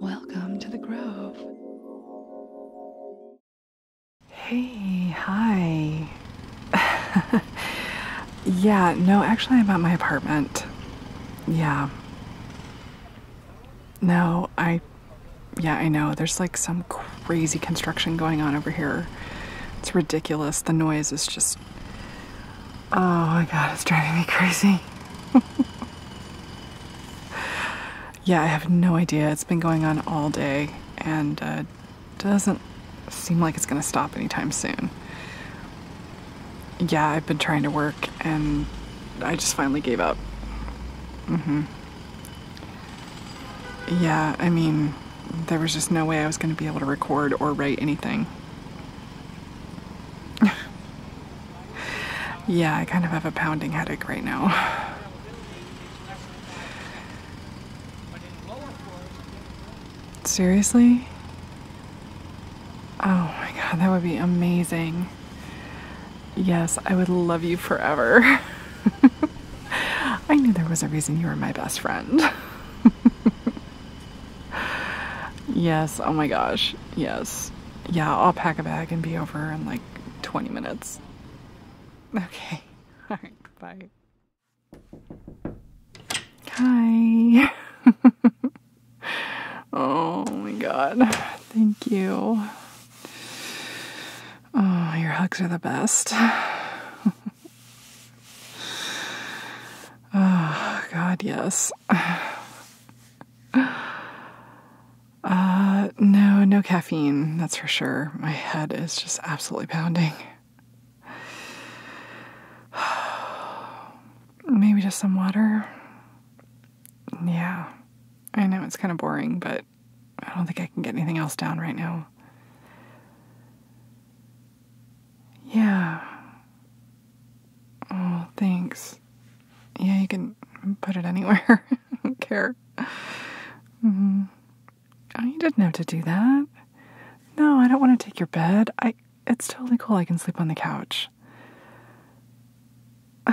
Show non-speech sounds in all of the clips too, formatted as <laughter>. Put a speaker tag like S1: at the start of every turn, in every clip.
S1: Welcome to the Grove. Hey, hi. <laughs> yeah, no, actually, I'm at my apartment. Yeah. No, I. Yeah, I know. There's like some crazy construction going on over here. It's ridiculous. The noise is just Oh my god, it's driving me crazy. yeah, I have no idea. It's been going on all day and uh, doesn't seem like it's going to stop anytime soon. Yeah, I've been trying to work and I just finally gave up. hmm Yeah, I mean, there was just no way I was going to be able to record or write anything. <laughs> yeah, I kind of have a pounding headache right now. <sighs> Seriously? Oh my god, that would be amazing. Yes, I would love you forever. <laughs> I knew there was a reason you were my best friend. <laughs> yes, oh my gosh. Yes. Yeah, I'll pack a bag and be over in like 20 minutes. Okay. <laughs> All right, bye. Hi. <laughs> oh my god. Thank you. Oh, your hugs are the best. <laughs> Oh, God, yes. <sighs> Uh, no, no caffeine, that's for sure. My head is just absolutely pounding. <sighs> Maybe just some water. Yeah, I know it's kind of boring, but I don't think I can get anything else down right now. Yeah. Oh, thanks. Yeah, you can put it anywhere. <laughs> I don't care. Mm-hmm. I didn't have to do that. No, I don't want to take your bed. I. It's totally cool. I can sleep on the couch. <sighs>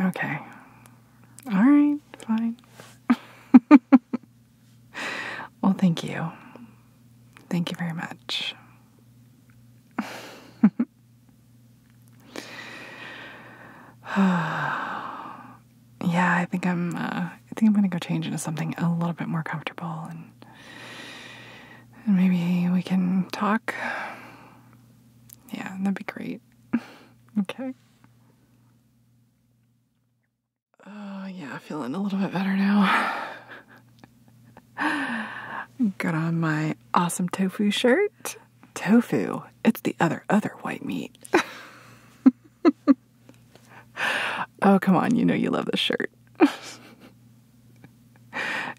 S1: okay. All right, fine. <laughs> well, thank you. Thank you very much. <sighs> yeah, I think I'm. Uh, I think I'm gonna go change into something a little bit more comfortable, and, and maybe we can talk. Yeah, that'd be great. <laughs> okay. Oh, yeah, feeling a little bit better now. <laughs> Got on my awesome tofu shirt. Tofu, it's the other, other white meat. <laughs> oh, come on, you know you love this shirt. <laughs>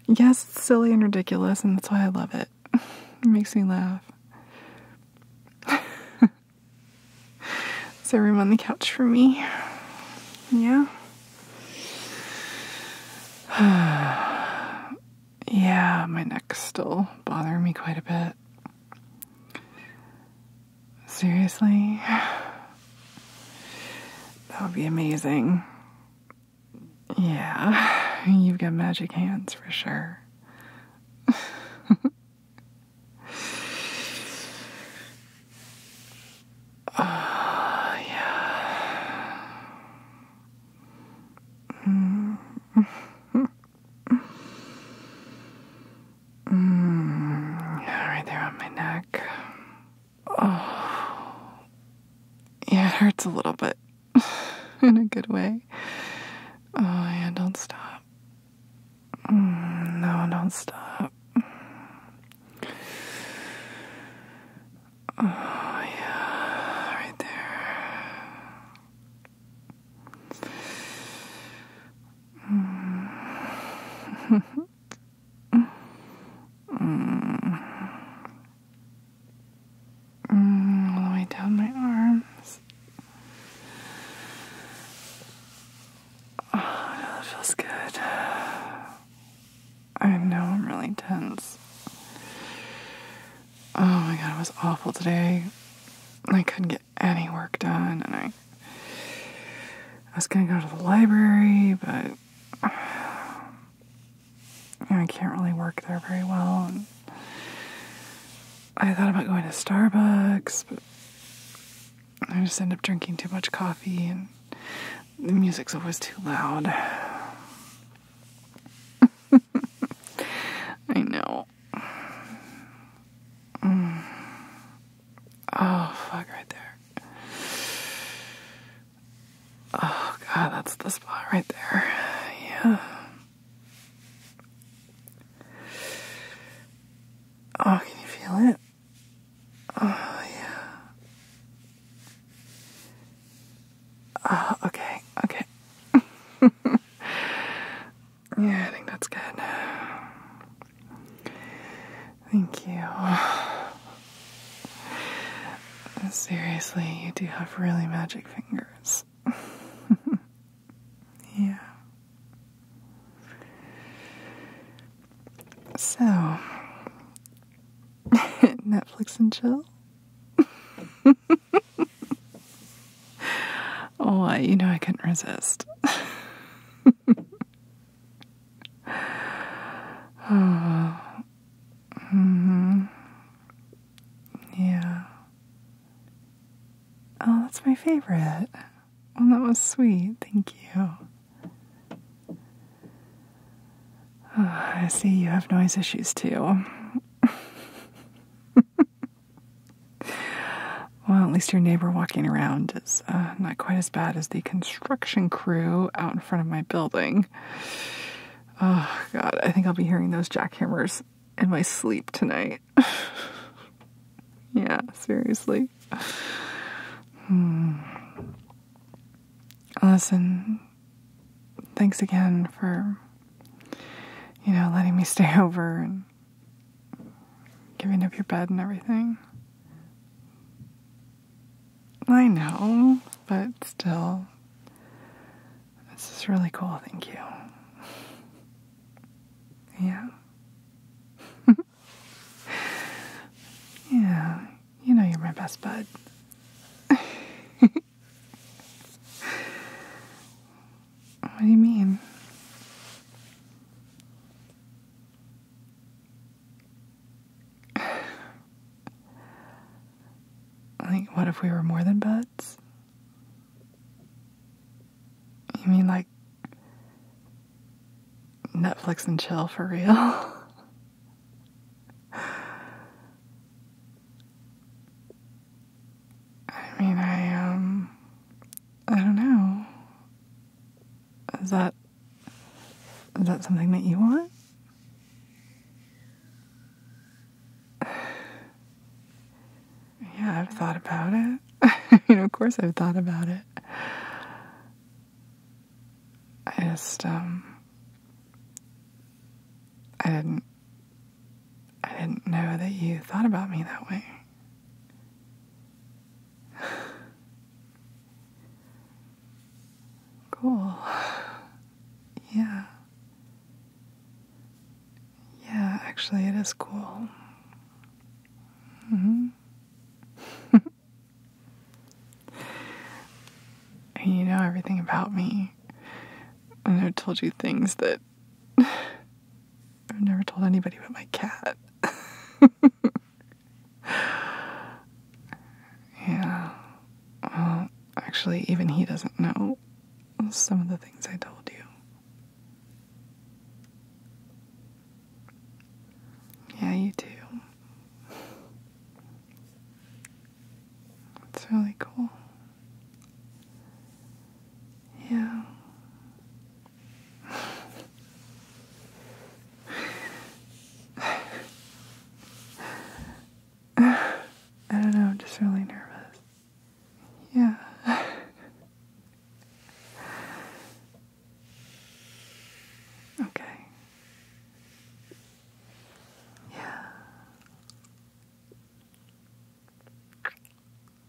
S1: yes, it's silly and ridiculous, and that's why I love it it. makes me laugh. Is there room on the couch for me? Yeah. <sighs> yeah, my neck's still bothering me quite a bit. Seriously? <sighs> That would be amazing. Yeah, you've got magic hands for sure. Oh, uh, yeah. Mm. Yeah, right there on my neck. Oh. Yeah, it hurts a little bit. <sighs> in a good way. Oh, yeah, don't stop. Mm, no, don't stop. <sighs> Oh, yeah, right there. Mm. <laughs> mm all the way down my arms. Oh, that feels good. I know I'm really tense. Oh my god, it was awful today. I couldn't get any work done, and I was gonna go to the library, but I can't really work there very well. I thought about going to Starbucks, but I just end up drinking too much coffee, and the music's always too loud. <laughs> I know. Mm. Oh, fuck, right there. Oh god, that's the spot right there. Yeah. Oh, can you feel it? Oh, yeah. Oh, okay, okay. <laughs> yeah, I think that's good. Thank you. <sighs> Seriously, you do have really magic fingers. <laughs> yeah. So, <laughs> Netflix and chill? <laughs> oh, you know I couldn't resist. Oh. <sighs> mm Yeah. Oh, that's my favorite. Oh, that was sweet. Thank you. <sighs> I see you have noise issues too. <laughs> well, at least your neighbor walking around uh, not quite as bad as the construction crew out in front of my building. Oh, God, I think I'll be hearing those jackhammers in my sleep tonight. <laughs> yeah, seriously. Hmm. Listen, thanks again for, you know, letting me stay <laughs> over and giving up your bed and everything. I know, but still. This is really cool, thank you. yeah. <laughs> yeah, you know you're my best bud. <laughs> What do you mean? <sighs> like, what if we were more than buds? You mean like Netflix and chill for real? <laughs> I mean, I, um, I don't know. Is that is that something that you want? <sighs> Yeah, I've thought about it. I <laughs> mean, of course, I've thought about it. I just, um, I didn't, I didn't know that you thought about me that way. Cool. Yeah. Yeah, actually, it is cool. hmm. <laughs> and you know everything about me. And I told you things that I've never told anybody but my cat. yeah. Well, actually, even he doesn't know some of the things I told you. Yeah, you do. That's really cool. Yeah. <sighs> I don't know, I'm just really nervous. Yeah. <sighs> okay. Yeah.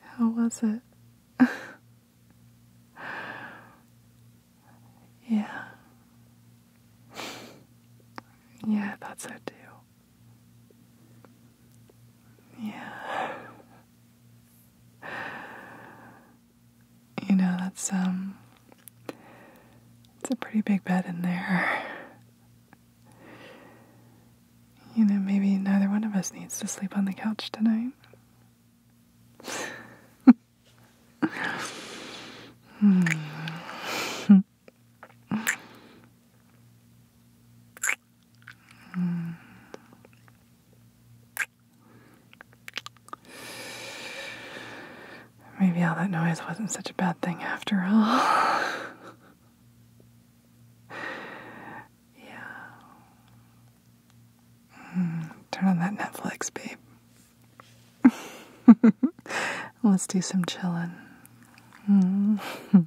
S1: How was it? <laughs> yeah. Yeah, that's it too. Yeah you know, that's um it's a pretty big bed in there. You know, maybe neither one of us needs to sleep on the couch tonight. Hmm. Hmm. Maybe all that noise wasn't such a bad thing after all. <sighs> yeah. Mm, turn on that Netflix, babe. <laughs> Let's do some chilling. Mm. <laughs>